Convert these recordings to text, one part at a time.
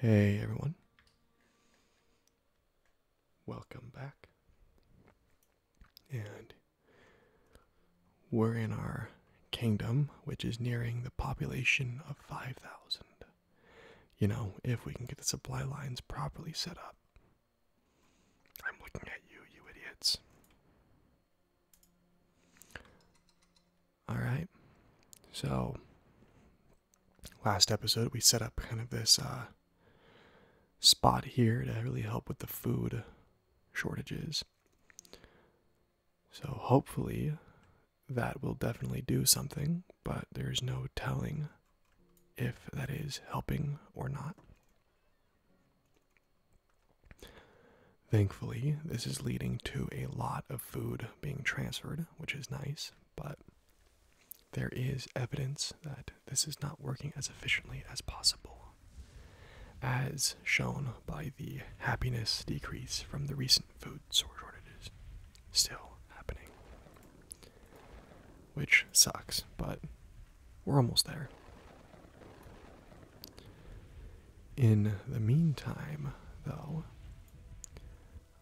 Hey everyone. Welcome back. And we're in our kingdom, which is nearing the population of 5,000. You know, if we can get the supply lines properly set up. I'm looking at you, you idiots. All right. So last episode we set up kind of this uh, spot here to really help with the food shortages. So hopefully that will definitely do something, but there's no telling if that is helping or not. Thankfully, this is leading to a lot of food being transferred, which is nice, but there is evidence that this is not working as efficiently as possible, as shown by the happiness decrease from the recent food shortages still happening. Which sucks, but we're almost there. In the meantime, though,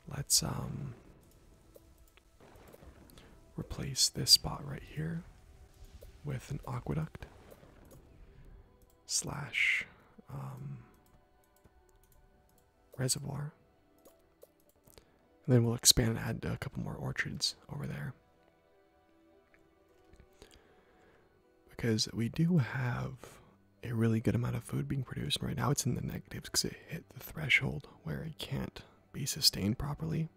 let's um, replace this spot right here with an aqueduct slash um, reservoir. And then we'll expand and add a couple more orchards over there. Because we do have a really good amount of food being produced, right now it's in the negatives because it hit the threshold where it can't be sustained properly.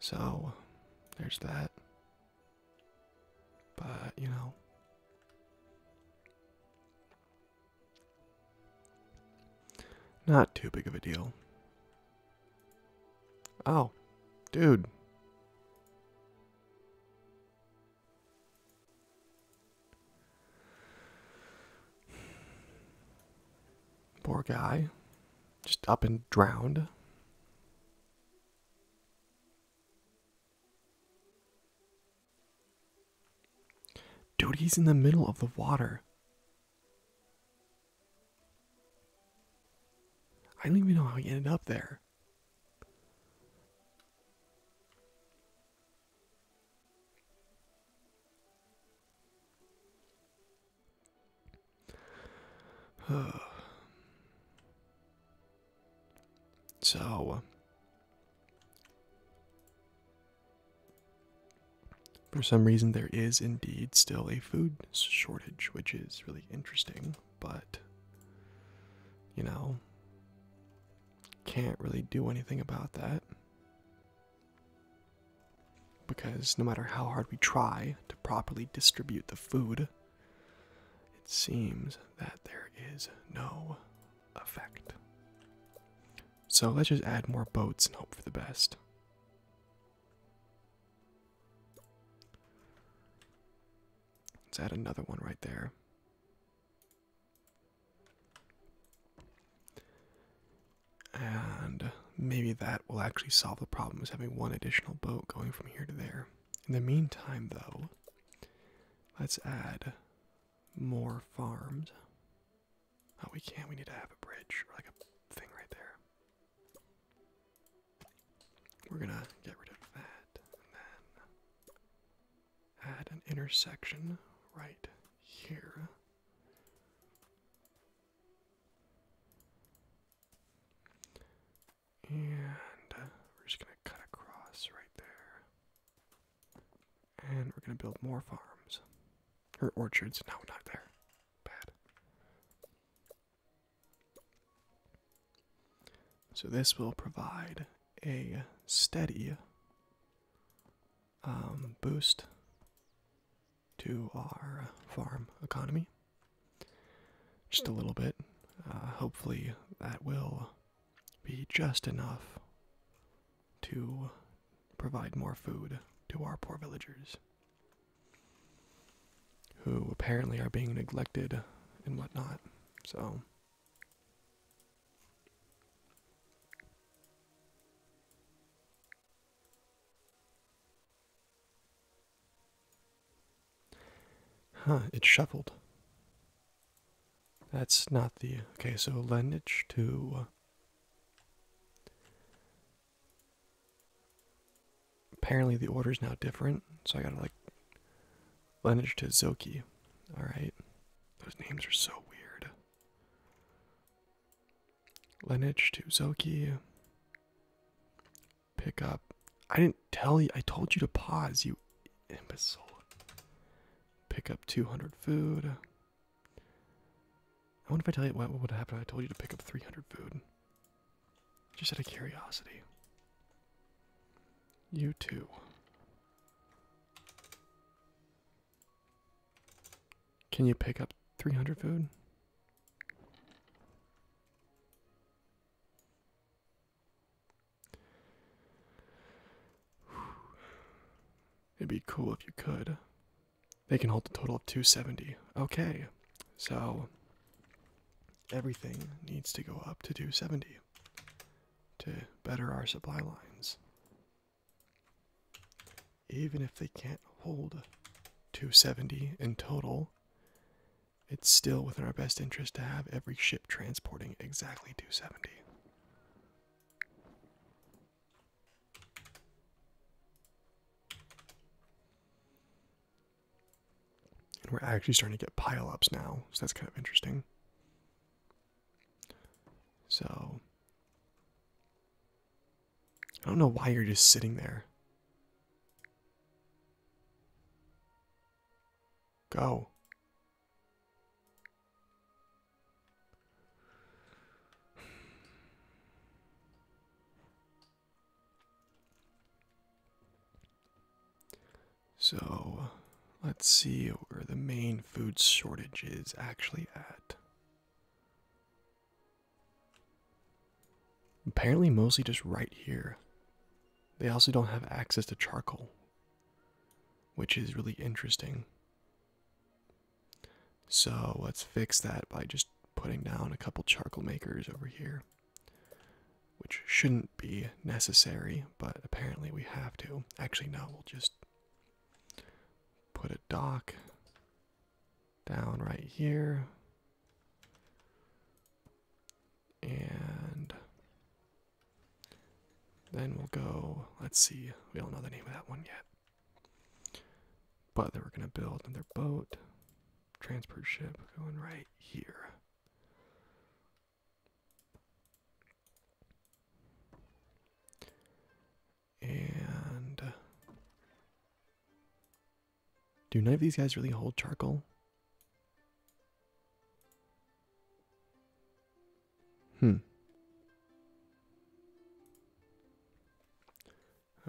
So, there's that. But, you know. Not too big of a deal. Oh, dude. Poor guy. Just up and drowned. Dude, he's in the middle of the water. I don't even know how he ended up there. so, uh, for some reason, there is indeed still a food shortage, which is really interesting, but you know, can't really do anything about that because no matter how hard we try to properly distribute the food, it seems that there is no effect. So let's just add more boats and hope for the best. Let's add another one right there. And maybe that will actually solve the problem is having one additional boat going from here to there. In the meantime, though, let's add more farms. Oh, we can't. We need to have a bridge or like a thing right there. We're gonna get rid of that and then add an intersection right here. And we're just gonna cut across right there. And we're gonna build more farms. Or orchards. Now we're not there. Bad. So this will provide a steady um, boost to our farm economy. Just a hmm. little bit. Uh, hopefully, that will be just enough to provide more food to our poor villagers who apparently are being neglected and whatnot. So. Huh, it's shuffled. That's not the. Okay, so lineage to. Apparently the order is now different, so I gotta like lineage to Zoki. Alright. Those names are so weird. Lineage to Zoki. Pick up. I didn't tell you I told you to pause, you imbecile. Pick up 200 food. I wonder if I tell you what would happen I told you to pick up 300 food. Just out of curiosity. You too. Can you pick up 300 food? It'd be cool if you could. They can hold a total of 270. Okay, so everything needs to go up to 270 to better our supply lines. Even if they can't hold 270 in total, it's still within our best interest to have every ship transporting exactly 270. And we're actually starting to get pileups now, so that's kind of interesting. So I don't know why you're just sitting there. Go. So let's see where the main food shortage is actually at. Apparently, mostly just right here. They also don't have access to charcoal, which is really interesting. So let's fix that by just putting down a couple charcoal makers over here, which shouldn't be necessary, but apparently we have to. Actually, no, we'll just put a dock down right here. And then we'll go, let's see, we don't know the name of that one yet. But they were going to build another boat transport ship going right here. And do none of these guys really hold charcoal? Hmm.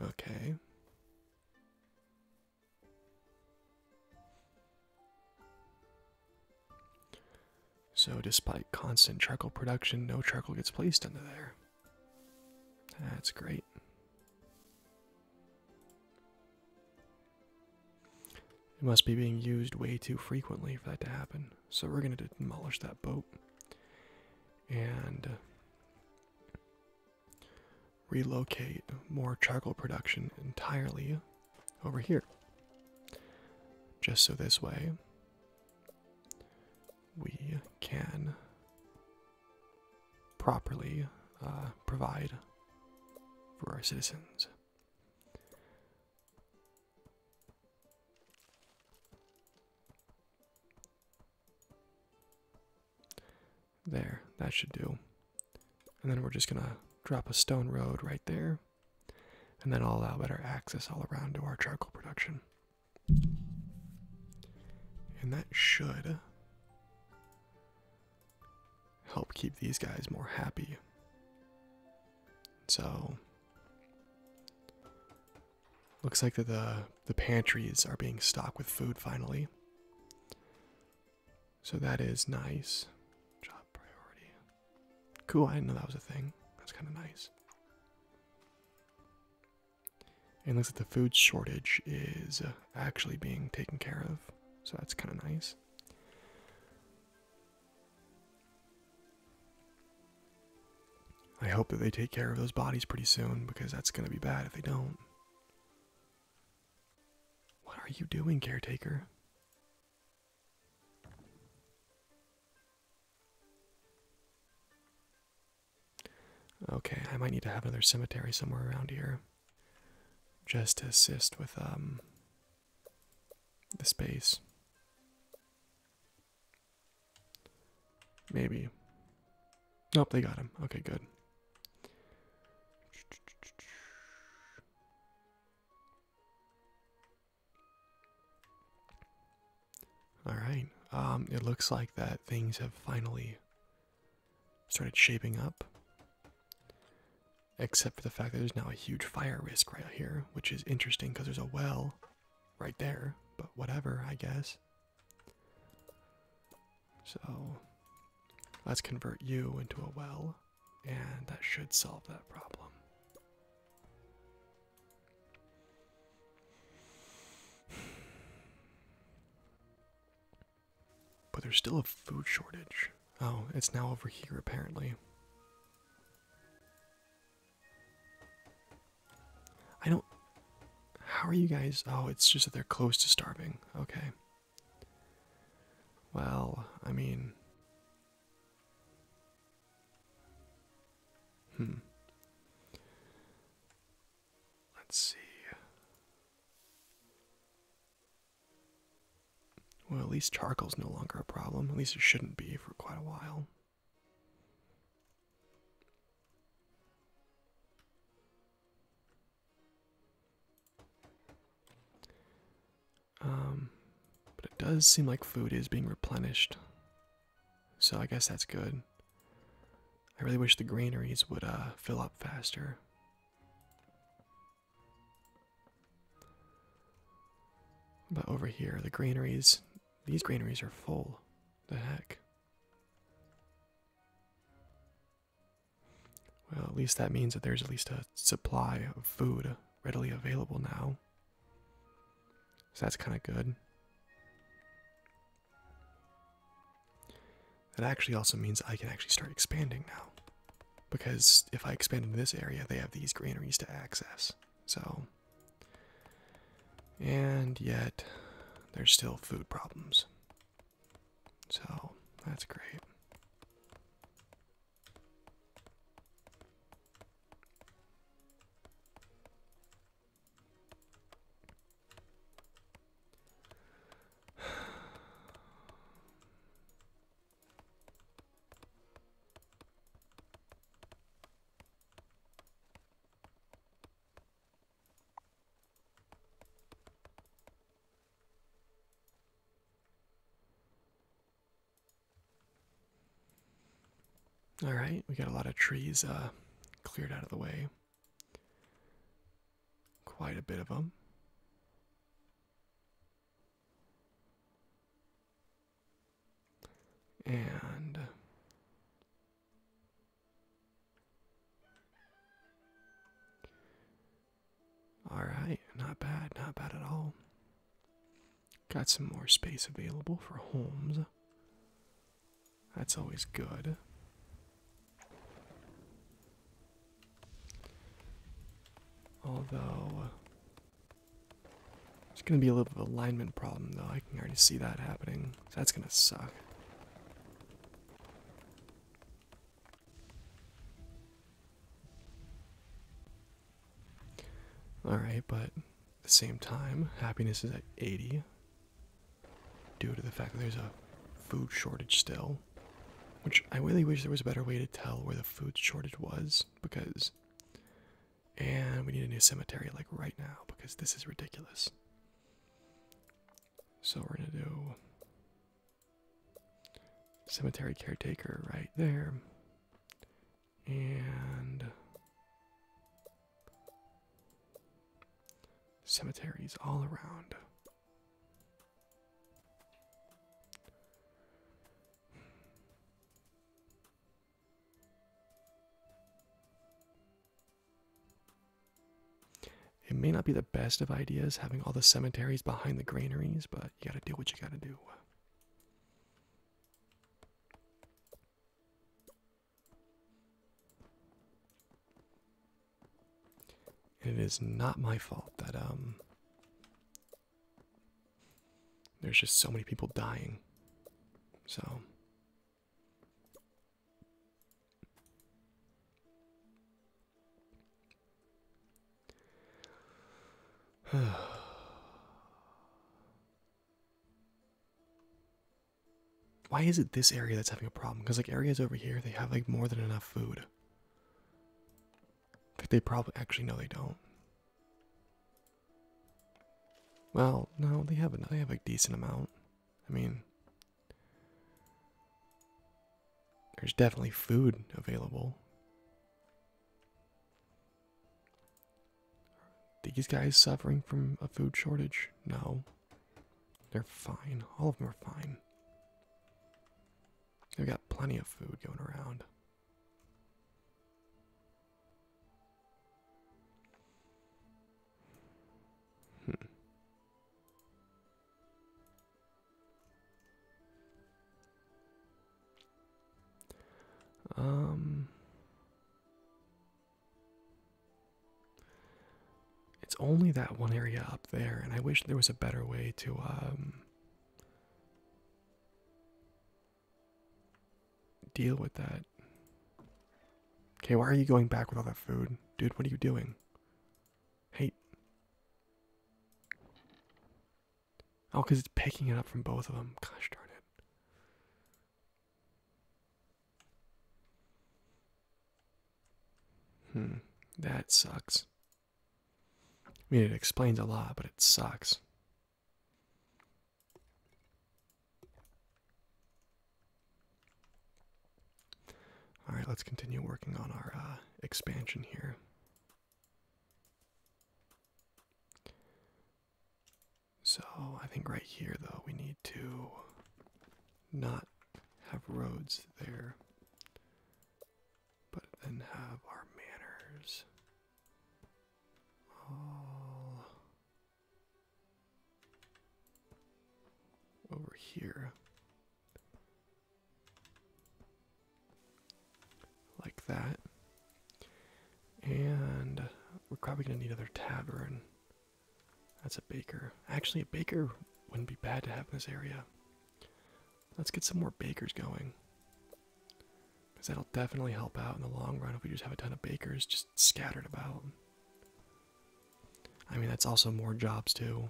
Okay. So, despite constant charcoal production, no charcoal gets placed under there. That's great. It must be being used way too frequently for that to happen. So, we're going to demolish that boat. And uh, relocate more charcoal production entirely over here. Just so this way we can properly uh, provide for our citizens. There, that should do. And then we're just gonna drop a stone road right there, and then I'll allow better access all around to our charcoal production. And that should help keep these guys more happy. So Looks like the the pantries are being stocked with food finally. So that is nice. Job priority. Cool, I didn't know that was a thing. That's kind of nice. And looks like the food shortage is uh, actually being taken care of. So that's kind of nice. I hope that they take care of those bodies pretty soon because that's going to be bad if they don't. What are you doing, caretaker? Okay, I might need to have another cemetery somewhere around here just to assist with um, the space. Maybe. Nope, they got him. Okay, good. All right. Um, it looks like that things have finally started shaping up. Except for the fact that there's now a huge fire risk right here, which is interesting because there's a well right there, but whatever, I guess. So let's convert you into a well, and that should solve that problem. But there's still a food shortage. Oh, it's now over here apparently. I don't. How are you guys? Oh, it's just that they're close to starving. Okay. Well, I mean. Hmm. Let's see. Well, at least charcoal's no longer a problem. At least it shouldn't be for quite a while. Um, but it does seem like food is being replenished, so I guess that's good. I really wish the granaries would uh, fill up faster. But over here, the granaries, these granaries are full. The heck? Well, at least that means that there's at least a supply of food readily available now. So that's kind of good. That actually also means I can actually start expanding now. Because if I expand into this area, they have these granaries to access. So and yet there's still food problems. So that's great. All right, we got a lot of trees uh, cleared out of the way. Quite a bit of them. And Alright, not bad, not bad at all. Got some more space available for homes. That's always good. Although, uh, it's going to be a little bit of alignment problem, though. I can already see that happening. That's gonna suck. Alright, but at the same time, happiness is at 80 due to the fact that there's a food shortage still. Which I really wish there was a better way to tell where the food shortage was because. And we need a new cemetery like right now because this is ridiculous. So we're going to do cemetery caretaker right there. And cemeteries all around. It may not be the best of ideas having all the cemeteries behind the granaries, but you gotta do what you gotta do. it is not my fault that, um, there's just so many people dying. So, Why is it this area that's having a problem? Because like areas over here, they have like more than enough food. Like they probably actually no, they don't. Well, no, they have a, they have a decent amount. I mean, there's definitely food available. these guys suffering from a food shortage? No. They're fine. All of them are fine. They've got plenty of food going around. Um It's only that one area up there and I wish there was a better way to um deal with that. Okay, why are you going back with all that food? Dude, what are you doing? Hey. Oh, because it's picking it up from both of them. Gosh darn it. Hmm, that sucks. I mean, it explains a lot, but it sucks. All right, let's continue working on our uh, expansion here. So I think right here, though, we need to not have roads there, but then have our manors all over here like that and we're probably going to need another tavern that's a baker actually a baker wouldn't be bad to have in this area let's get some more bakers going because that'll definitely help out in the long run if we just have a ton of bakers just scattered about I mean, that's also more jobs, too.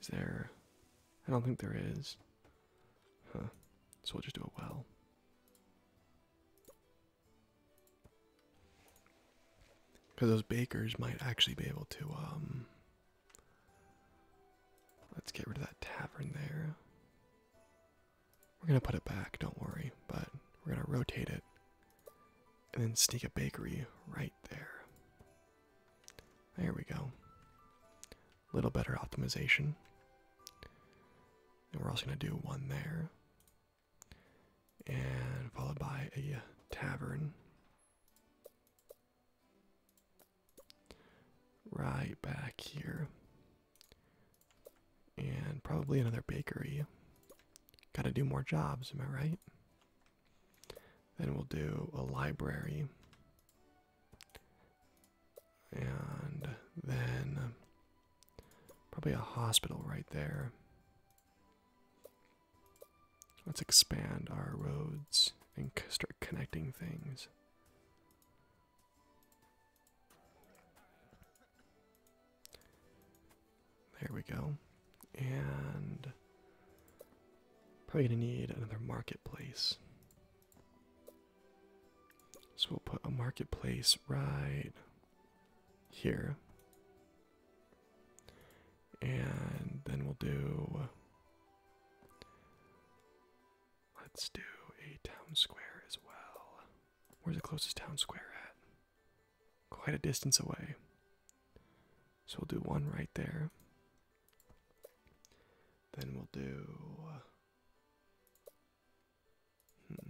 Is there. I don't think there is. Huh. So we'll just do it well. Because those bakers might actually be able to, um. Let's get rid of that tavern there. We're gonna put it back, don't worry, but we're gonna rotate it and then sneak a bakery right there. There we go. A little better optimization. And we're also gonna do one there. And followed by a tavern right back here. And probably another bakery. Gotta do more jobs, am I right? Then we'll do a library. And then probably a hospital right there. Let's expand our roads and start connecting things. There we go. And probably going to need another marketplace. So we'll put a marketplace right here. And then we'll do. Let's do a town square as well. Where's the closest town square at? Quite a distance away. So we'll do one right there. Then we'll do. Hmm.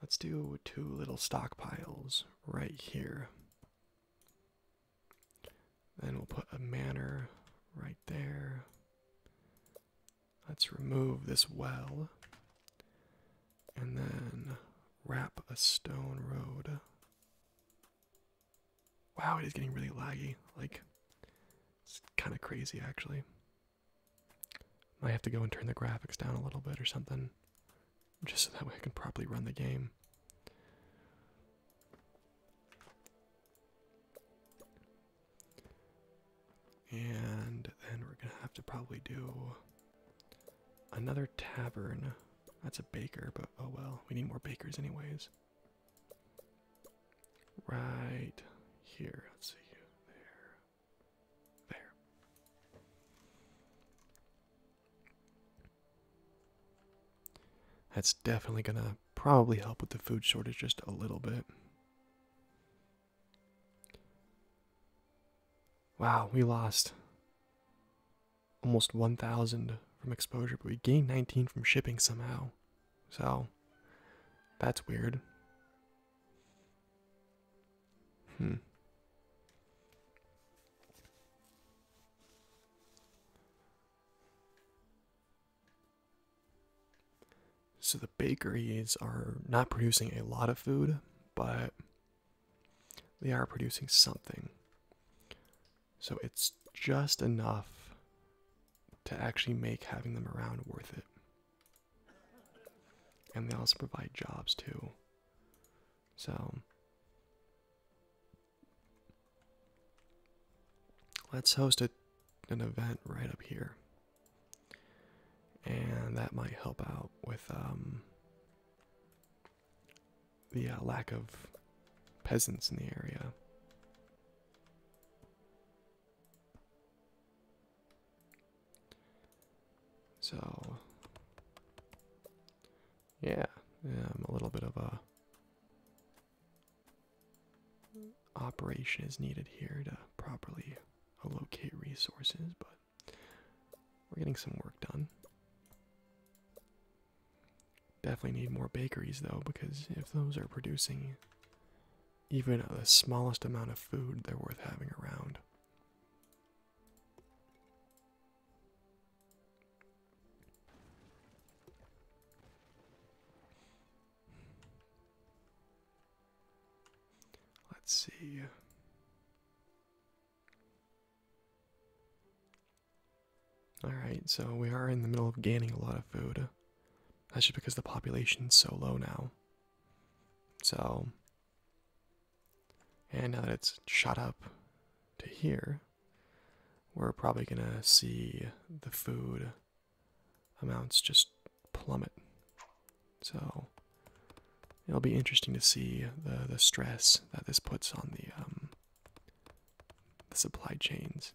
Let's do two little stockpiles right here. Then we'll put a manor right there. Let's remove this well. And then wrap a stone road. Wow, it is getting really laggy. Like, it's kind of crazy actually. Might have to go and turn the graphics down a little bit or something. Just so that way I can properly run the game. And then we're gonna have to probably do another tavern. That's a baker, but oh well, we need more bakers, anyways. Right here, let's see, there, there. That's definitely gonna probably help with the food shortage just a little bit. Wow, we lost almost 1,000 from exposure, but we gained 19 from shipping somehow. So, that's weird. Hmm. So the bakeries are not producing a lot of food, but they are producing something. So it's just enough to actually make having them around worth it. And they also provide jobs too. So Let's host an event right up here. And that might help out with um, the uh, lack of peasants in the area. So yeah, a little bit of a operation is needed here to properly allocate resources, but we're getting some work done. Definitely need more bakeries though, because if those are producing even the smallest amount of food, they're worth having around. Let's see. Alright, so we are in the middle of gaining a lot of food. That's just because the population's so low now. So. And now that it's shot up to here, we're probably going to see the food amounts just plummet. So it'll be interesting to see the the stress that this puts on the um, the supply chains.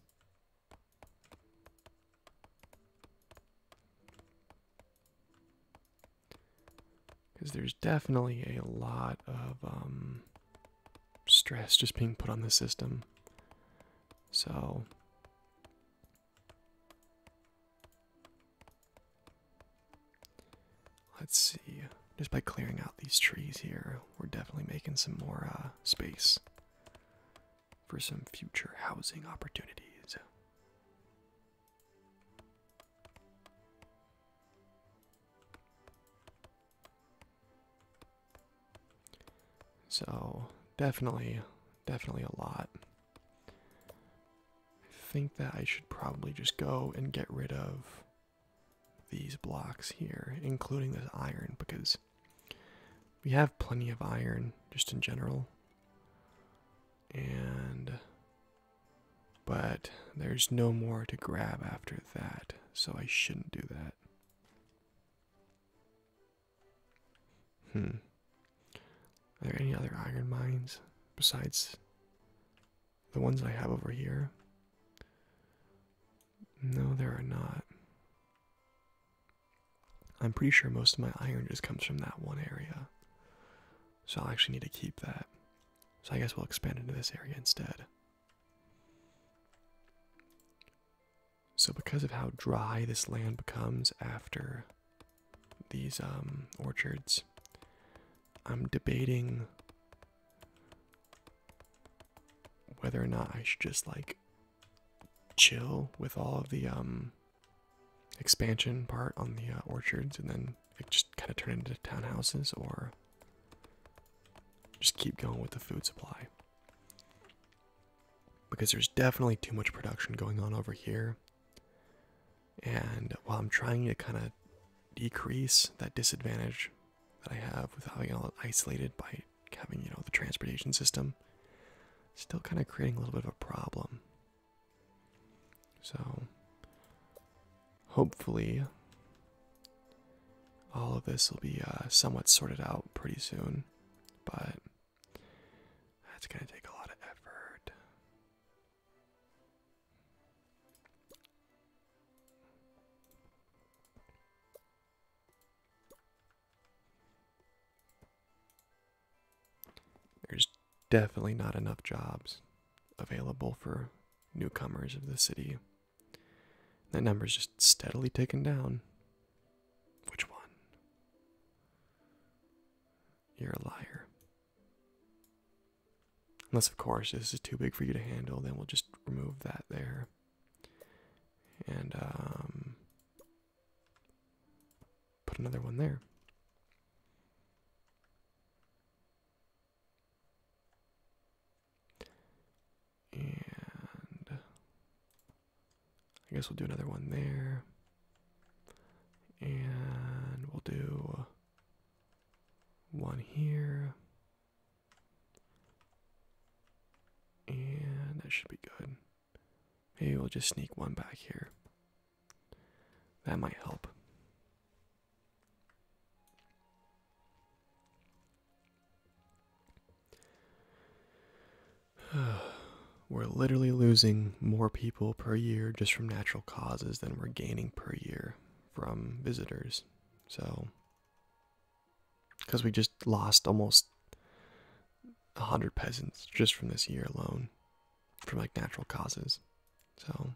Because there's definitely a lot of um, stress just being put on the system. So let's see. Just by clearing out these trees here, we're definitely making some more uh, space for some future housing opportunities. So definitely, definitely a lot. I think that I should probably just go and get rid of these blocks here, including this iron, because we have plenty of iron just in general. And but there's no more to grab after that, so I shouldn't do that. Hmm. Are there any other iron mines besides the ones I have over here? No, there are not. I'm pretty sure most of my iron just comes from that one area. So I'll actually need to keep that. So I guess we'll expand into this area instead. So, because of how dry this land becomes after these um, orchards, I'm debating whether or not I should just like chill with all of the um, expansion part on the uh, orchards and then just kind of turn into townhouses or just keep going with the food supply. Because there's definitely too much production going on over here. And while I'm trying to kind of decrease that disadvantage that I have with having all isolated by having, you know, the transportation system, still kind of creating a little bit of a problem. So hopefully all of this will be uh, somewhat sorted out pretty soon, but that's going to take a lot of effort. There's definitely not enough jobs available for newcomers of the city. That number's just steadily taken down. Which one? You're a liar. Unless, of course, this is too big for you to handle, then we'll just remove that there. And, um, put another one there. And I guess we'll do another one there. And we'll do one here. And that should be good. Maybe we'll just sneak one back here. That might help. we're literally losing more people per year just from natural causes than we're gaining per year from visitors. So, because we just lost almost 100 peasants just from this year alone, from like natural causes. So,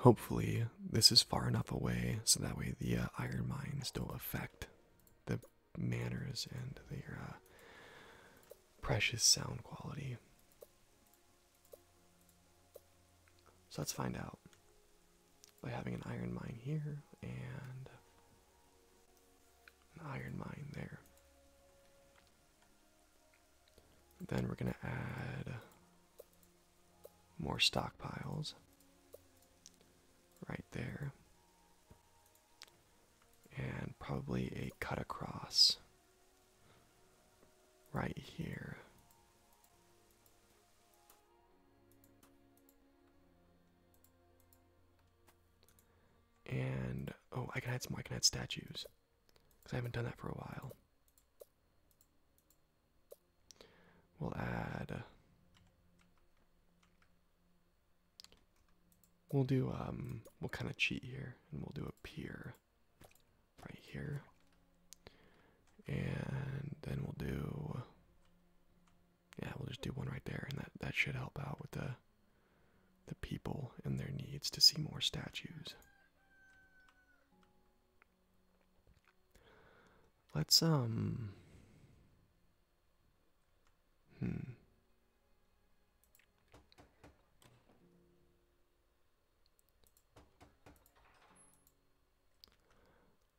Hopefully, this is far enough away so that way the uh, iron mines don't affect the manners and the uh, precious sound quality. So let's find out by having an iron mine here and an iron mine there. Then we're going to add more stockpiles right there. And probably a cut across right here. And oh, I can add some. I can add statues because I haven't done that for a while. We'll add. We'll do um. We'll kind of cheat here, and we'll do a pier right here. And then we'll do yeah, we'll just do one right there, and that that should help out with the the people and their needs to see more statues. Let's um Hmm.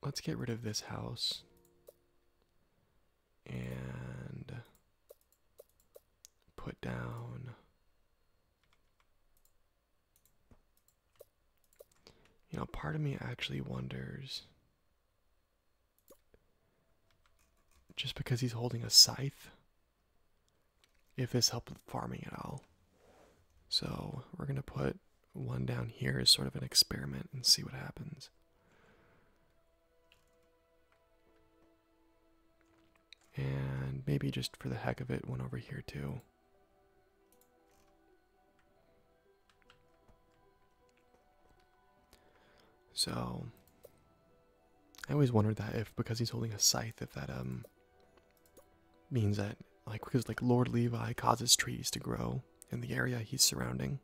Let's get rid of this house. And put down. You know, part of me actually wonders. Just because he's holding a scythe, if this helped with farming at all. So we're going to put one down here as sort of an experiment and see what happens. And maybe just for the heck of it, one over here too. So I always wondered that if because he's holding a scythe, if that um means that like because like Lord Levi causes trees to grow in the area he's surrounding.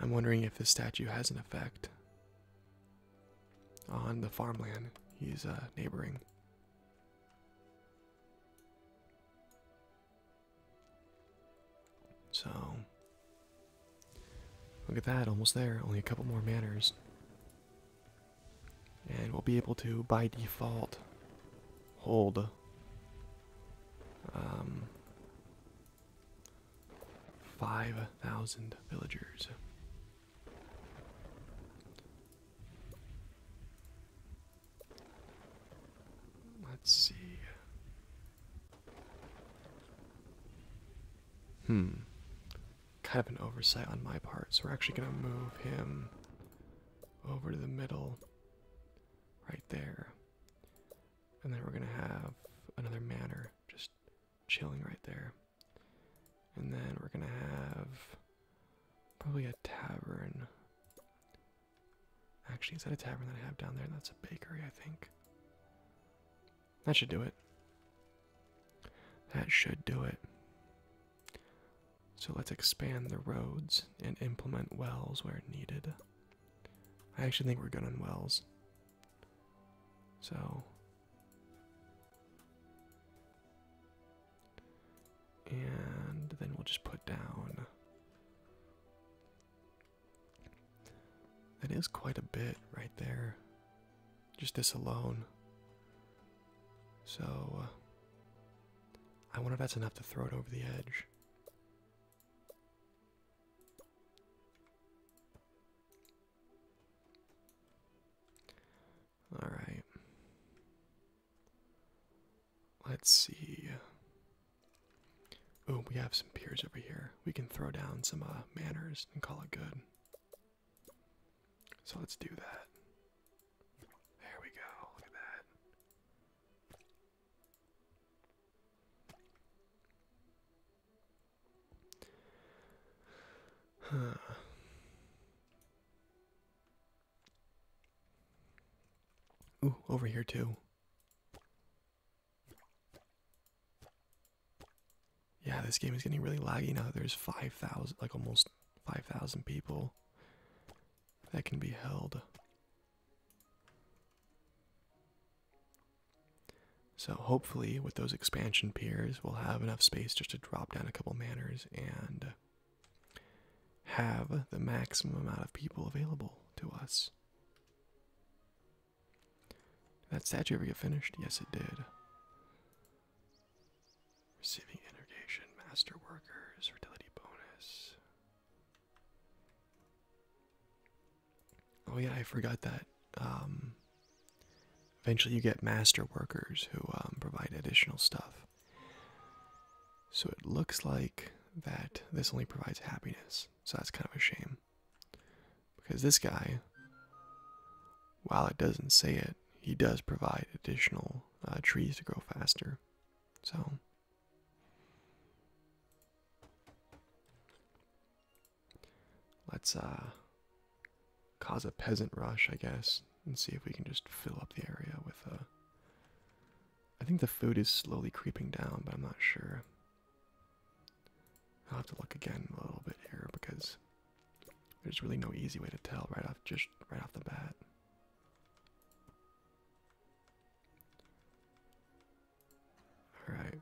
I'm wondering if this statue has an effect on the farmland he's uh, neighboring. So, look at that, almost there, only a couple more manners. And we'll be able to, by default, hold um, 5,000 villagers. Let's see. Hmm kind of an oversight on my part. So we're actually going to move him over to the middle right there. And then we're going to have another manor just chilling right there. And then we're going to have probably a tavern. Actually, is that a tavern that I have down there? That's a bakery, I think. That should do it. That should do it. So let's expand the roads and implement wells where needed. I actually think we're good on wells. So. And then we'll just put down. That is quite a bit right there just this alone. So, uh, I wonder if that's enough to throw it over the edge. All right. Let's see. Oh, we have some piers over here. We can throw down some uh, manners and call it good. So let's do that. There we go. Look at that. Ooh, over here too yeah, this game is getting really laggy now. There's 5,000, like almost 5,000 people that can be held. So hopefully with those expansion piers, we'll have enough space just to drop down a couple manors and have the maximum amount of people available to us. that statue ever get finished? Yes, it did. Receiving integration, master workers, fertility bonus. Oh yeah, I forgot that. Um, eventually, you get master workers who um, provide additional stuff. So it looks like that this only provides happiness. So that's kind of a shame. Because this guy, while it doesn't say it, he does provide additional uh, trees to grow faster. So, let's uh, cause a peasant rush, I guess, and see if we can just fill up the area with a. Uh, I think the food is slowly creeping down, but I'm not sure. I'll have to look again a little bit here because there's really no easy way to tell right off just right off the bat. All right.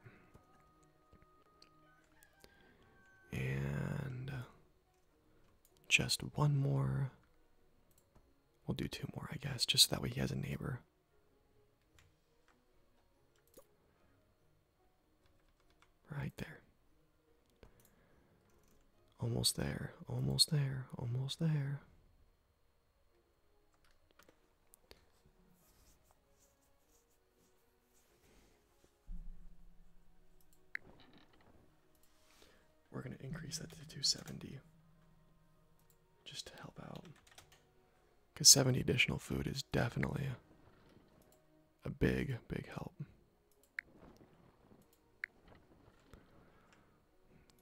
And uh, just one more. We'll do two more, I guess, just so that way he has a neighbor. Right there. Almost there, almost there, almost there. We're going to increase that to 270 just to help out. Because 70 additional food is definitely a big, big help.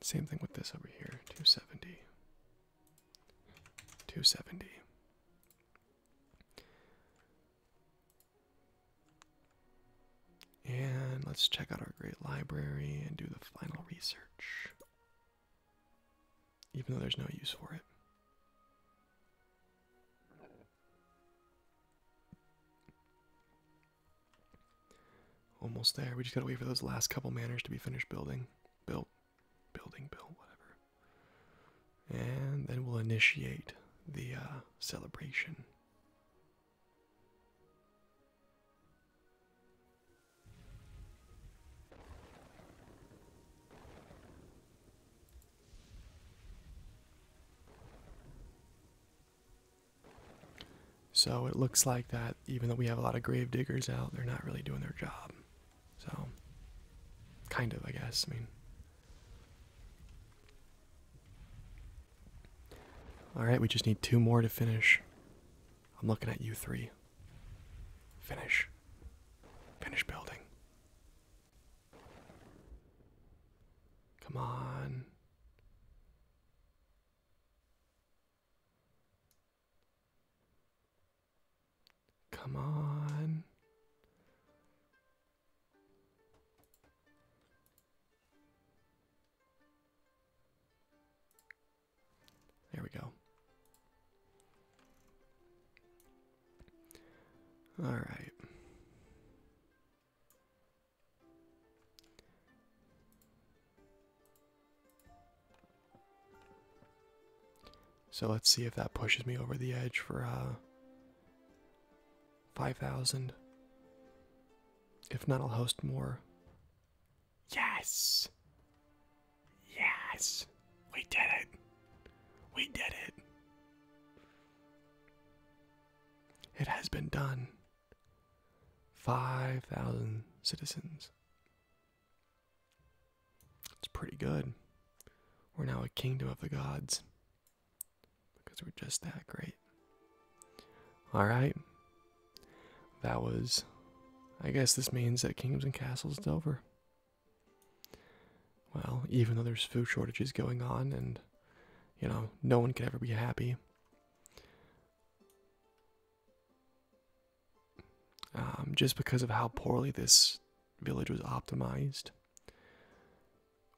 Same thing with this over here 270. 270. And let's check out our great library and do the final research. Even though there's no use for it. Almost there. We just gotta wait for those last couple manors to be finished building. Built. Building, built, whatever. And then we'll initiate the uh, celebration. So it looks like that, even though we have a lot of grave diggers out, they're not really doing their job. So, kind of, I guess. I mean, all right, we just need two more to finish. I'm looking at you three. Finish. Finish building. Come on. Come on. There we go. All right. So let's see if that pushes me over the edge for uh, 5,000. If not, I'll host more. Yes! Yes! We did it! We did it! It has been done. 5,000 citizens. It's pretty good. We're now a kingdom of the gods because we're just that great. All right. That was I guess this means that kingdoms and castles is over. Well, even though there's food shortages going on, and you know, no one can ever be happy. Um, just because of how poorly this village was optimized.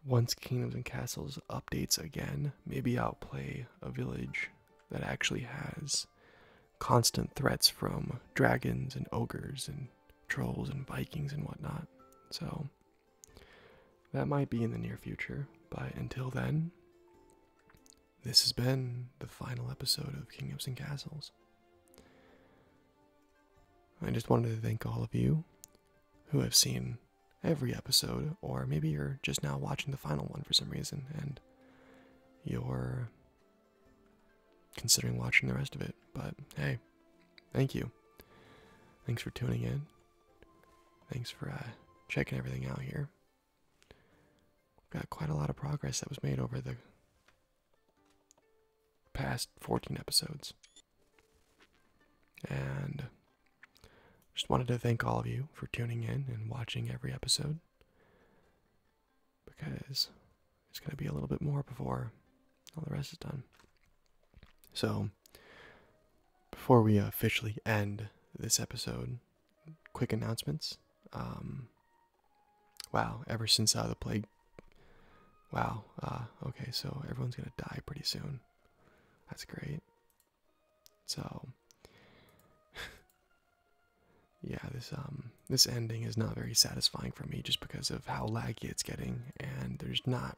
Once Kingdoms and Castles updates again, maybe I'll play a village that actually has constant threats from dragons and ogres and trolls and Vikings and whatnot. So that might be in the near future, but until then, this has been the final episode of Kingdoms and Castles. I just wanted to thank all of you who have seen every episode, or maybe you're just now watching the final one for some reason and you're considering watching the rest of it. But hey, Thank you. Thanks for tuning in. Thanks for uh, checking everything out here. Got quite a lot of progress that was made over the past 14 episodes. And just wanted to thank all of you for tuning in and watching every episode because it's going to be a little bit more before all the rest is done. So, before we officially end this episode, quick announcements. Um, wow, ever since uh, the plague. Wow, uh, okay, so everyone's going to die pretty soon. That's great. So, yeah, this um this ending is not very satisfying for me just because of how it's getting, and there's not.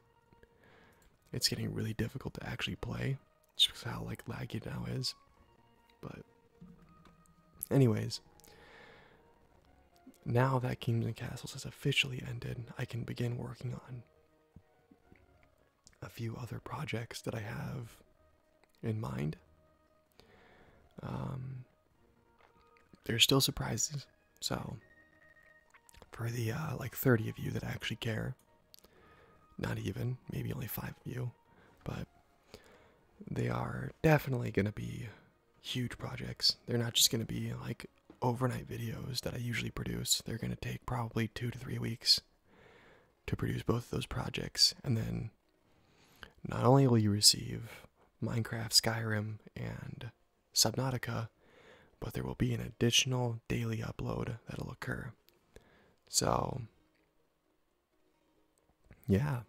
It's getting really difficult to actually play, just how like laggy now is. But, anyways, now that Kingdoms and Castles has officially ended, I can begin working on a few other projects that I have in mind. Um, there's still surprises. So, for the uh, like 30 of you that actually care, not even, maybe only five of you, but they are definitely going to be huge projects. They're not just going to be like overnight videos that I usually produce, they're going to take probably two to three weeks to produce both those projects. And then not only will you receive Minecraft, Skyrim, and Subnautica, but there will be an additional daily upload that'll occur. So, yeah,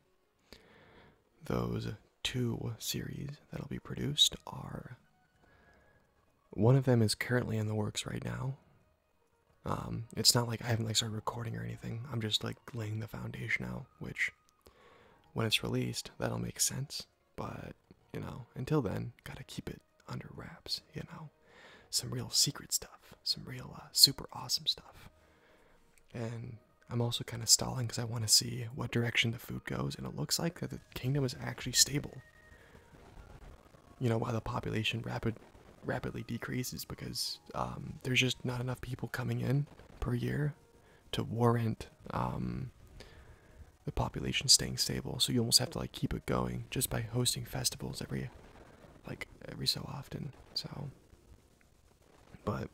those two series that'll be produced are one of them is currently in the works right now. Um, it's not like I haven't like started recording or anything. I'm just like laying the foundation out, which when it's released, that'll make sense. But, you know, until then, gotta keep it under wraps, you know. Some real secret stuff, some real uh, super awesome stuff. And I'm also kind of stalling because I want to see what direction the food goes, and it looks like that the kingdom is actually stable. You know, while the population rapid, rapidly decreases because um, there's just not enough people coming in per year to warrant um, the population staying stable. So you almost have to like keep it going just by hosting festivals every like every so often. So but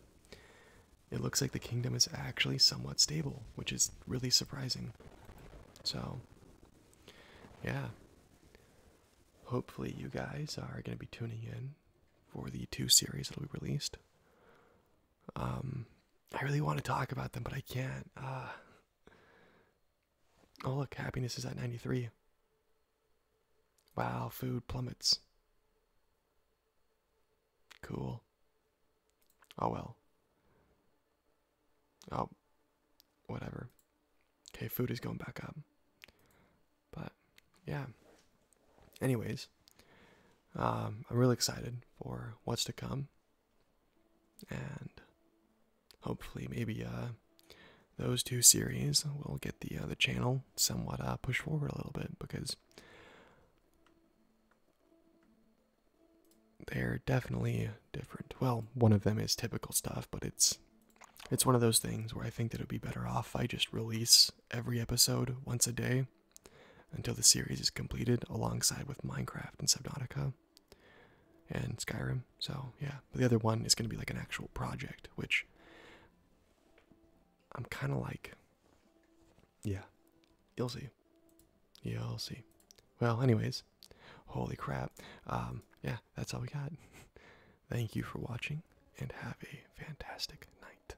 it looks like the kingdom is actually somewhat stable, which is really surprising. So yeah. Hopefully you guys are going to be tuning in for the two series that will be released. Um, I really want to talk about them, but I can't. Uh, oh, look, happiness is at 93. Wow, food plummets. Cool. Oh well. Oh, whatever. Okay, food is going back up. But, yeah anyways um, i'm really excited for what's to come and hopefully maybe uh, those two series will get the uh, the channel somewhat uh, pushed forward a little bit because they're definitely different well one of them is typical stuff but it's it's one of those things where i think that it would be better off if i just release every episode once a day until the series is completed alongside with Minecraft and Subnautica and Skyrim. So, yeah, but the other one is going to be like an actual project, which I'm kind of like, yeah, you'll see. You'll see. Well, anyways, holy crap. Um, yeah, that's all we got. Thank you for watching and have a fantastic night.